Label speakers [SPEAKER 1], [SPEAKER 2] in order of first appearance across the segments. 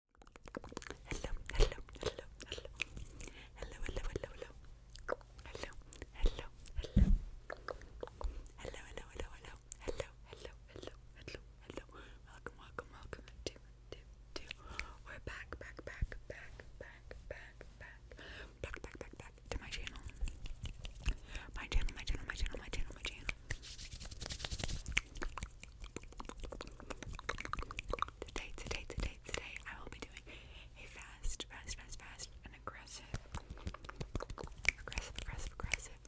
[SPEAKER 1] Hello, hello, hello, hello. Hello, hello, hello, hello. Hello, hello, hello. Hello, hello, hello, hello. Hello, hello, hello, hello, hello. Welcome, welcome, welcome to, to, to. We're back, back, back, back, back, back, back. Back, back, back, back to my channel. My channel, my channel, my channel, my channel, my channel. Today, today, today, today, I will be doing a fast, fast, fast, fast, and aggressive, aggressive, aggressive, aggressive,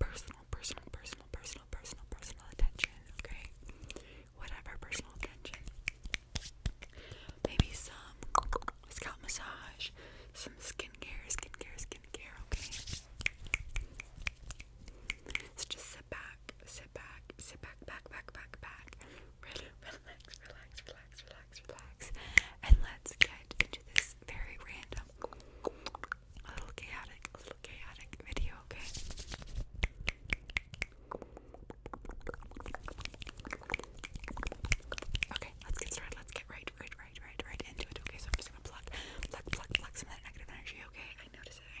[SPEAKER 1] personal, personal, personal, personal, personal, personal attention, okay? Whatever personal attention. Maybe some scalp massage, some skincare, skincare, skincare, okay? So just sit back back, sit back, sit back, back, back, back, back. Really relax, relax, relax, relax, relax. And let's get into this very random, a little chaotic, a little chaotic video, okay? Okay, let's get started. Let's get right, right, right, right, right into it. Okay, so I'm just gonna pluck, pluck, pluck, pluck some of that negative energy. Okay, I notice it. I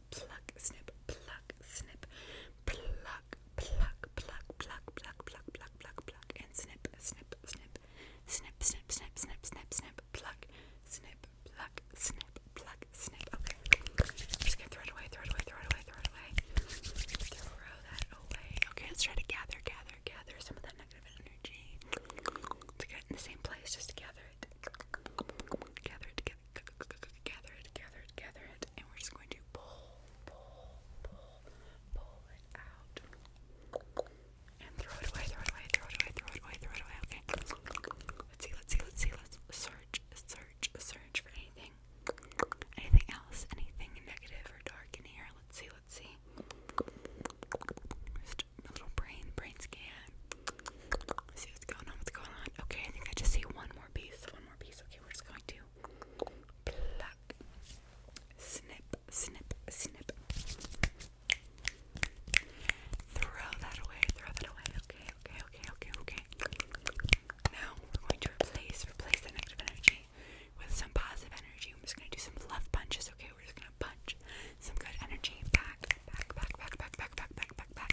[SPEAKER 1] pluck, snip, pluck, snip, pluck, pluck, pluck, pluck, pluck, pluck, pluck, pluck, pluck, and snip, snip, pluck, snip, snip, snip, snip, snip, snip, pluck, snip, pluck, snip, pluck, snip. Okay. Just gonna throw it away, throw it away, throw it away, throw it away. Throw that away. Okay, let's try to gather, gather, gather some of that negative energy. To get in the same place, just gather, it, gather it, gather it, gather it, gather it, and we're just going to pull, pull, pull, pull it out, and throw it away, throw it away, throw it away, throw it away, throw it away. Okay. Let's see, let's see, let's see, let's search, search, search for anything, anything else, anything negative or dark in here. Let's see, let's see. Just a little brain, brain scan see what's going on, what's going on. Okay, I think I just see one more piece, one more piece. Okay, we're just going to pluck, snip, snip, snip. Throw that away, throw that away. Okay, okay, okay, okay, okay. Now we're going to replace, replace the negative energy with some positive energy. I'm just gonna do some love punches, okay? We're just gonna punch some good energy back, back, back, back, back, back, back, back, back, back,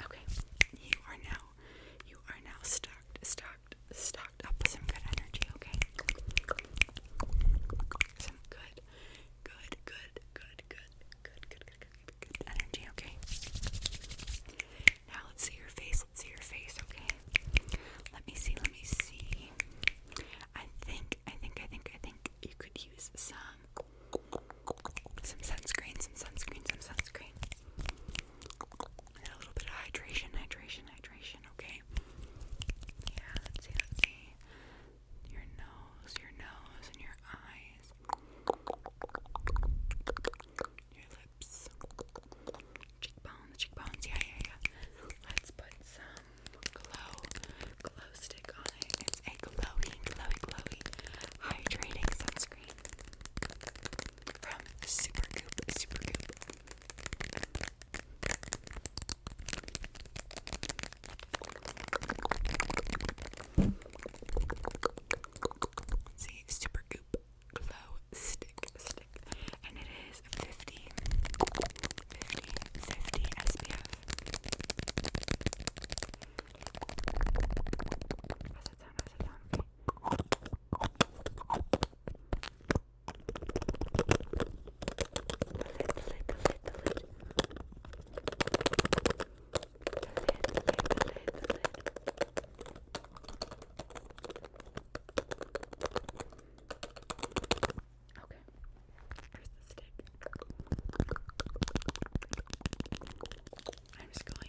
[SPEAKER 1] Okay, you are now, you are now stocked, stocked, stocked up with some good energy, okay? Some good, good, good, good, good, good, good, good, good, energy, okay? Now let's see your face, let's see your face, okay? Let me see, let me see. I think, I think, I think, I think you could use some some sunscreen, some sunscreen, some sunscreen. a little bit of hydration, hydration, hydration, okay? Yeah, let's see, let's see. Your nose, your nose, and your eyes. Your lips. Cheekbones, cheekbones, yeah, yeah, yeah. Let's put some glow glow stick on it. It's a glowy, glowy, glowy hydrating sunscreen from Super Goop. Super Goop. See, Super Goop Glow Stick Stick, and it is 50, 50, 50 SPF. How's that sound? How's that sound? Okay. The lid, the lid, the lid, the lid. The lid, the lid, the lid, the lid. Okay. Here's the stick. I'm just going to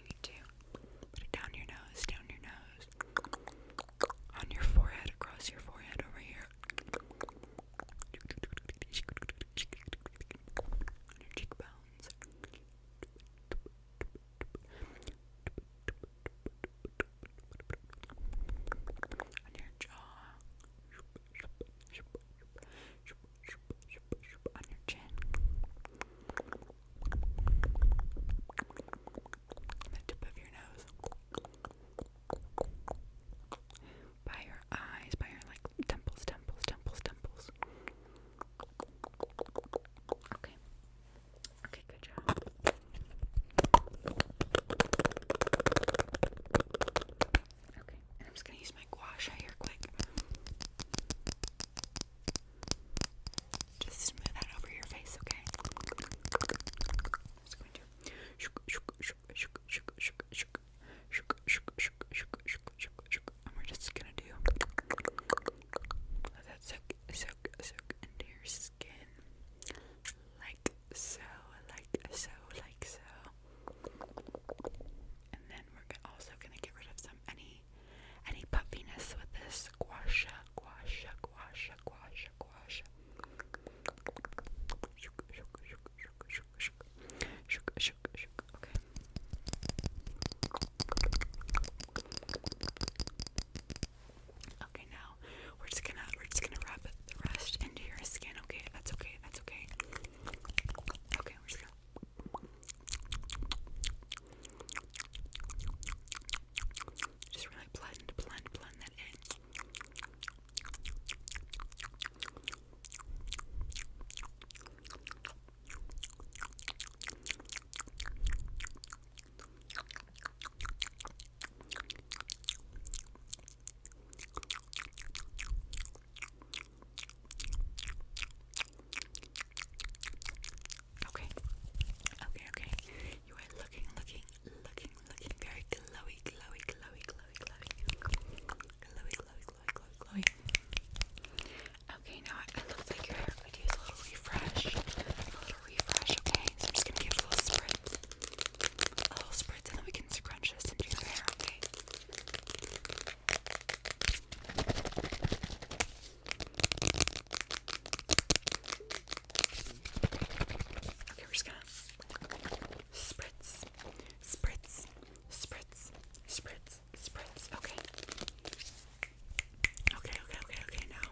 [SPEAKER 1] put it down your nose, down your nose, on your forehead, across your forehead, over here, on your cheekbones on your jaw, on your chin. the tip of your nose, by your eyes, by your like temples, temples, temples, temples. Okay, Okay, good job. Okay, I'm just gonna use my gua here quick. Just smooth that over your face, okay? i going to shook shook shook shook shook shook shook shook shook shook shook shook shook shook and we just gonna do that soak soak soak into your skin skin like so, like so, like so. And then we're also gonna get rid of some any any puffiness with this gua sha, gua sha, gua Okay, now we're just gonna we're just gonna wrap the rest into your skin. Okay, that's okay. That's okay. Okay, we're just gonna. Just really blend, blend, blend that in. Okay, okay, okay. You are looking, looking, looking, looking very glowy, glowy, glowy, glowy, glowy, glowy, glowy, glowy, glowy, glowy. Okay, now it looks like your hair could use a little refresh, refresh, okay? So I'm just gonna give a little spritz. A little spritz, and then we can scrunch this into your hair, okay? Okay, we're just gonna spritz, spritz, spritz, spritz, spritz. Okay. Okay, okay, okay, okay. Now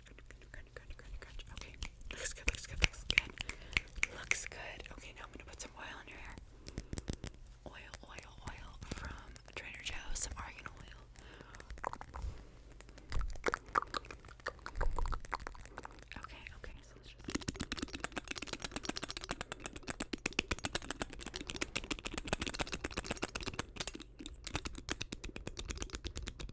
[SPEAKER 1] Okay, looks good, looks good, looks good. Looks good. Okay, now I'm gonna put some oil in your hair. Oil, oil, oil from Trader Joe's, some argan oil. Okay, okay, so let's just I was going to put that in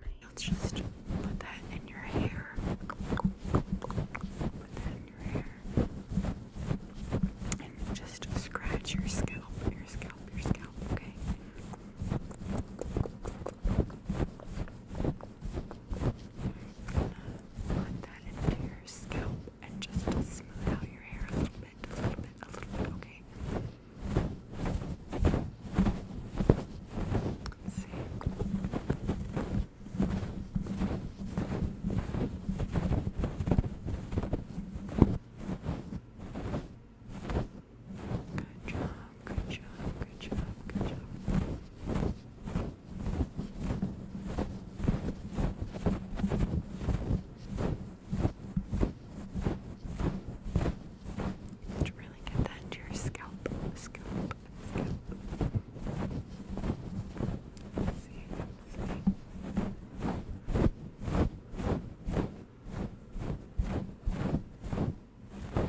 [SPEAKER 1] my let just put that in your hair. Put that in your hair. And just scratch your scalp, your scalp, your scalp, okay? Put that into your scalp and just smooth out your hair a little bit, a little bit, a little bit, okay? Let's see. Good job, good job, good job, good job. To really get that to your scalp, scalp, scalp. Let's see, let's see. Okay.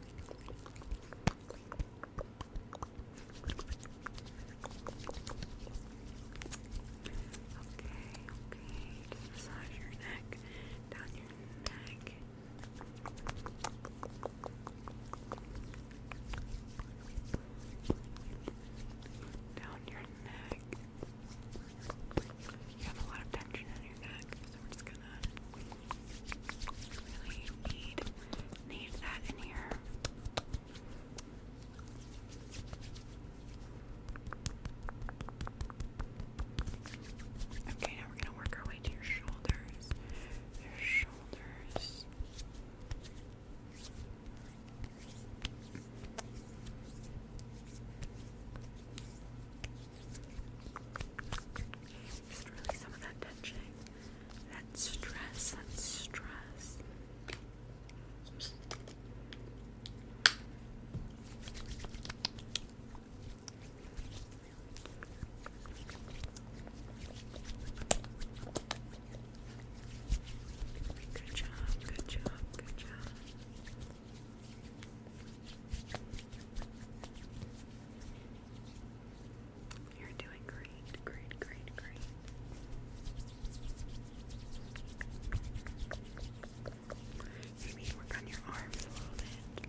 [SPEAKER 1] okay. Just massage your neck, down your neck. Down your neck. You have a lot of tension in your neck, so we're just gonna Okay, now we're gonna work our way to your shoulders. Your shoulders. Just release some of that tension, that stress, that stress. Good job, good job, good job. You're doing great, great, great, great. Maybe you work on your arms a little bit.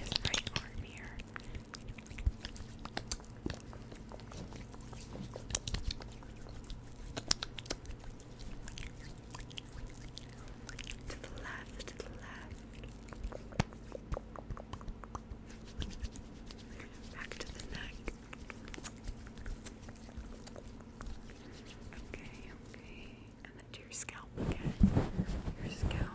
[SPEAKER 1] His right arm here. To the left, to the left. Back to the neck. Okay, okay. And then to your scalp again. Your scalp. Okay.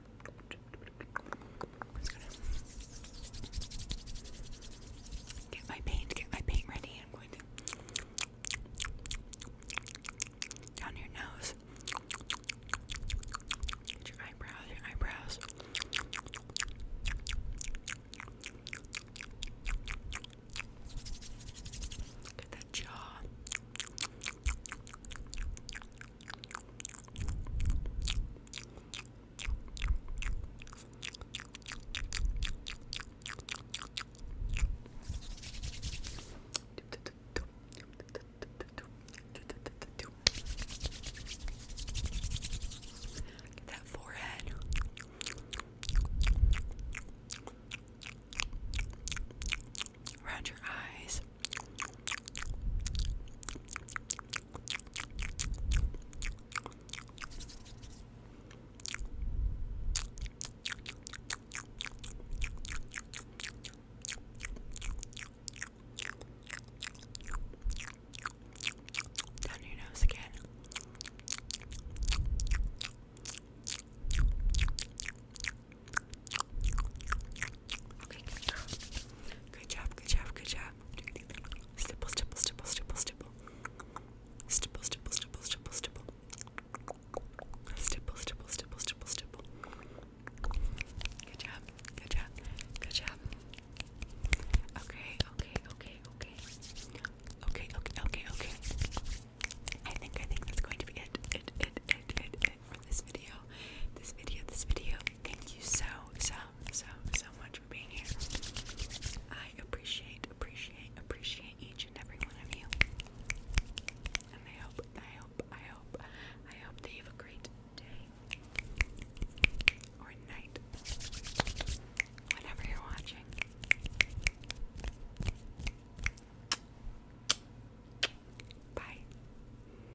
[SPEAKER 1] get my paint, get my paint ready. I'm going to down your nose, your eyebrows, your eyebrows. Get that jaw. Get that forehead. Around your eyes. Down your nose again. Okay, good girl. Good job, good job, good job. Stipple, stipple, stipple, stipple, stipple. Stipple, stipple, stipple, stipple, stipple. Stipple, stipple, stipple, stipple, stipple. Good job, good job, good job. Okay, okay, okay, okay. Okay, okay, okay, okay. I think I think that's going to be it. It it it it for this video. This video, this video. Thank you so, so, so, so much for being here. I appreciate, appreciate, appreciate each and every one of you. And I hope, I hope, I hope, I hope that you have a great day or night, whenever you're watching. Bye.